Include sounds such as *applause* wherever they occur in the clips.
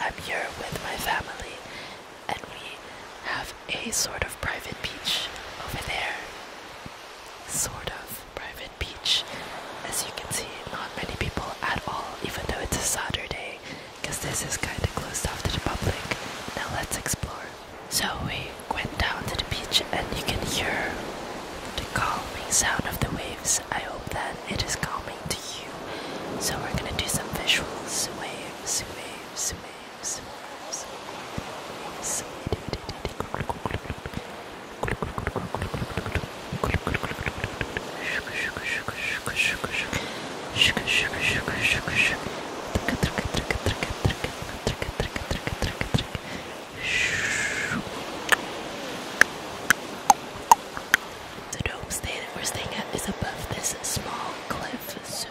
I'm here with my family, and we have a sort of private beach over there. Sort of private beach. As you can see, not many people at all, even though it's a Saturday, because this is kind of closed off to the public. Now let's explore. So we went down to the beach, and you can hear the calming sound of the waves. I hope that it is calming right to you. So we're gonna do some visuals. Waves, waves, waves, waves, waves. Shh. The homestay that we're staying at is above this small cliff, so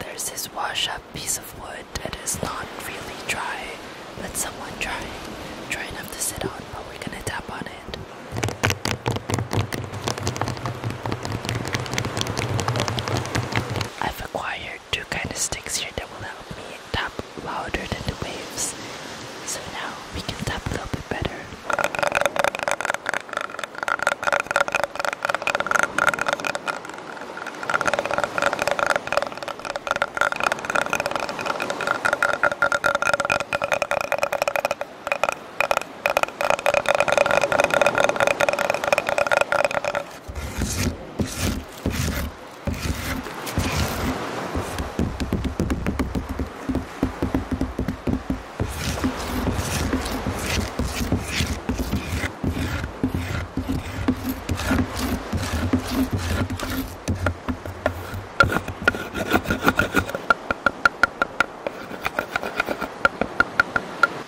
there's this wash up piece of wood that is not really dry, Let someone dry, dry enough to sit on, but we're gonna tap on it. I've acquired two kind of sticks here that will help me tap louder than the waves. So now we can tap a little bit better.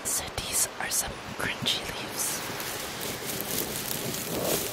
So these are some crunchy leaves.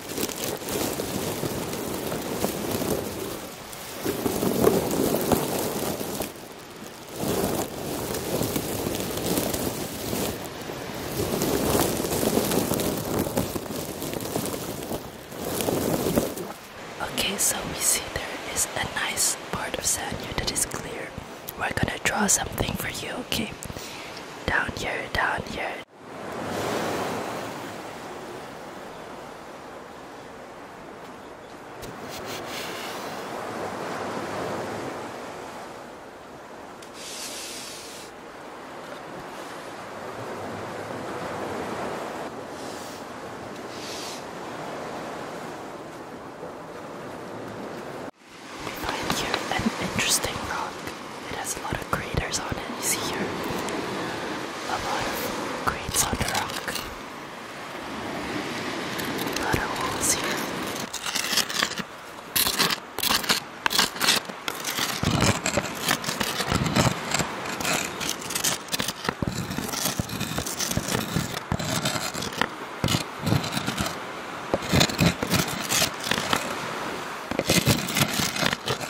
Okay, so we see there is a nice part of sand here that is clear. We're gonna draw something for you, okay? Down here, down here, find here an interesting rock. It has a lot of of craters on it. You see here a lot of crates on the rock. A lot of holes here.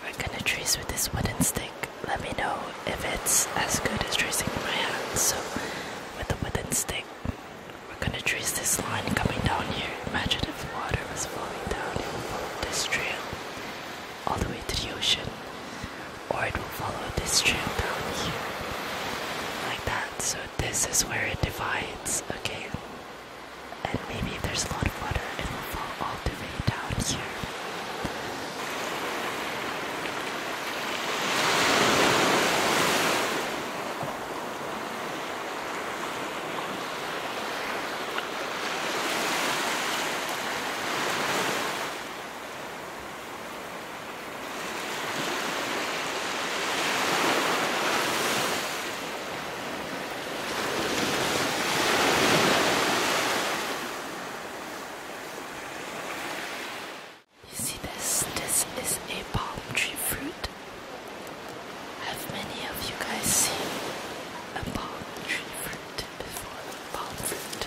We're gonna trace with this wooden stick. Let me know if it's as good as tracing in my hand. So, with the wooden stick, we're gonna trace this line coming down here. Imagine if water was flowing down, it this trail all the way to the ocean, or it will follow this trail down here, like that. So, this is where it divides, okay? And maybe there's a lot of water, it will fall all the way way down here. You see this? This is a palm tree fruit. Have many of you guys seen a palm tree fruit before? Palm fruit.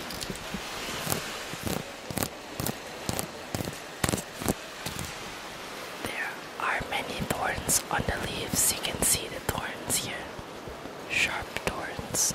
There are many thorns on the leaves. You can see the thorns here. Sharp thorns.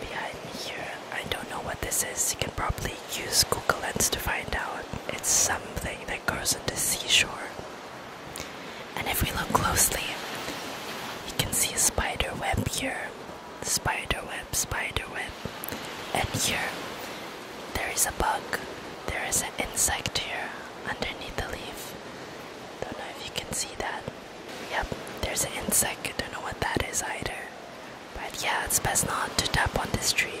Behind me here, I don't know what this is. You can probably use Google Lens to find out. It's something that grows on the seashore. And if we look closely, you can see a spider web here. Spider web, spider web. And here, there is a bug. There is an insect here underneath the leaf. Don't know if you can see that. Yep, there's an insect. I don't know what that is either. But yeah, it's best not to tap on this tree.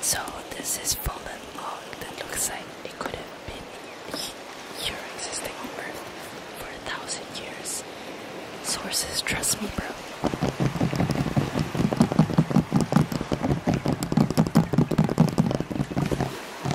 So this is fallen log that looks like it could have been your existing world for a thousand years. Sources, trust me, bro. I don't know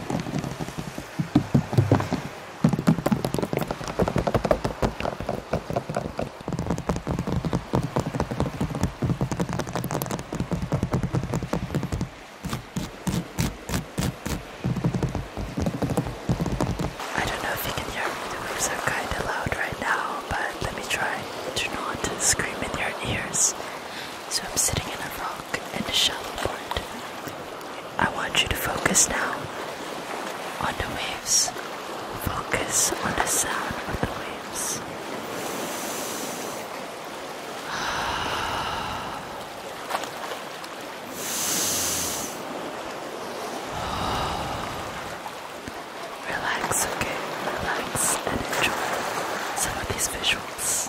if you can hear me, the waves are kind of loud right now, but let me try to not scream in your ears. So I'm sitting in a rock and the shallow part. I want you to focus now on the waves. Focus on the sound of the waves. *sighs* Relax, okay? Relax and enjoy some of these visuals.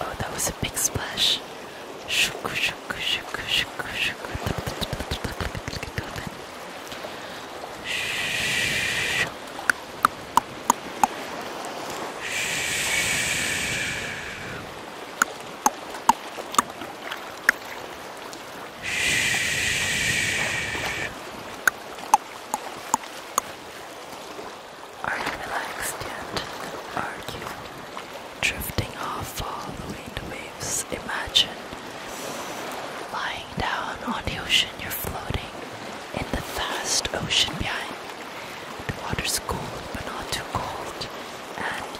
Oh, that was a big splash. Shh. Are you relaxed yet? Are you drifting off all the wind waves? Imagine lying down on the ocean, you're floating in the vast ocean behind. The water's cold, but not too cold, and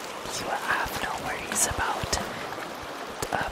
you have no worries about uh,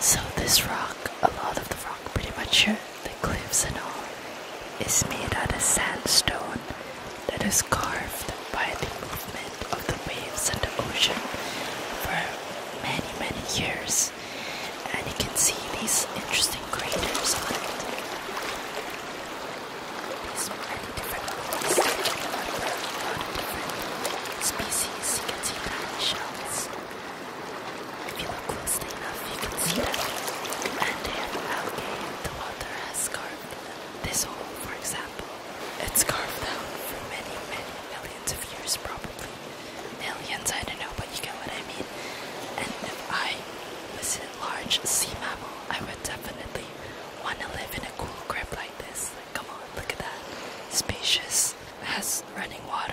So this rock, a lot of the rock pretty much uh, the cliffs and all, is made out of sandstone that is carved by the movement of the waves and the ocean for many many years and you can see these interesting craters on it. These many different species. You can see tiny shells. If you look closely enough, you can see them. And algae. The water has carved this hole, for example. It's carved out for many, many millions of years, probably. Millions, I don't know, but you get what I mean. And if I was in large sea mammal, I would definitely want to live in a cool crib like this. Like, come on, look at that. Spacious, has running water.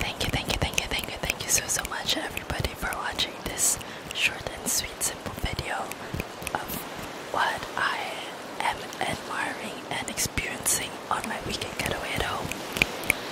Thank you, thank you, thank you, thank you, thank you so so much everybody for watching this short and sweet simple video of what I am admiring and experiencing on my weekend getaway at home.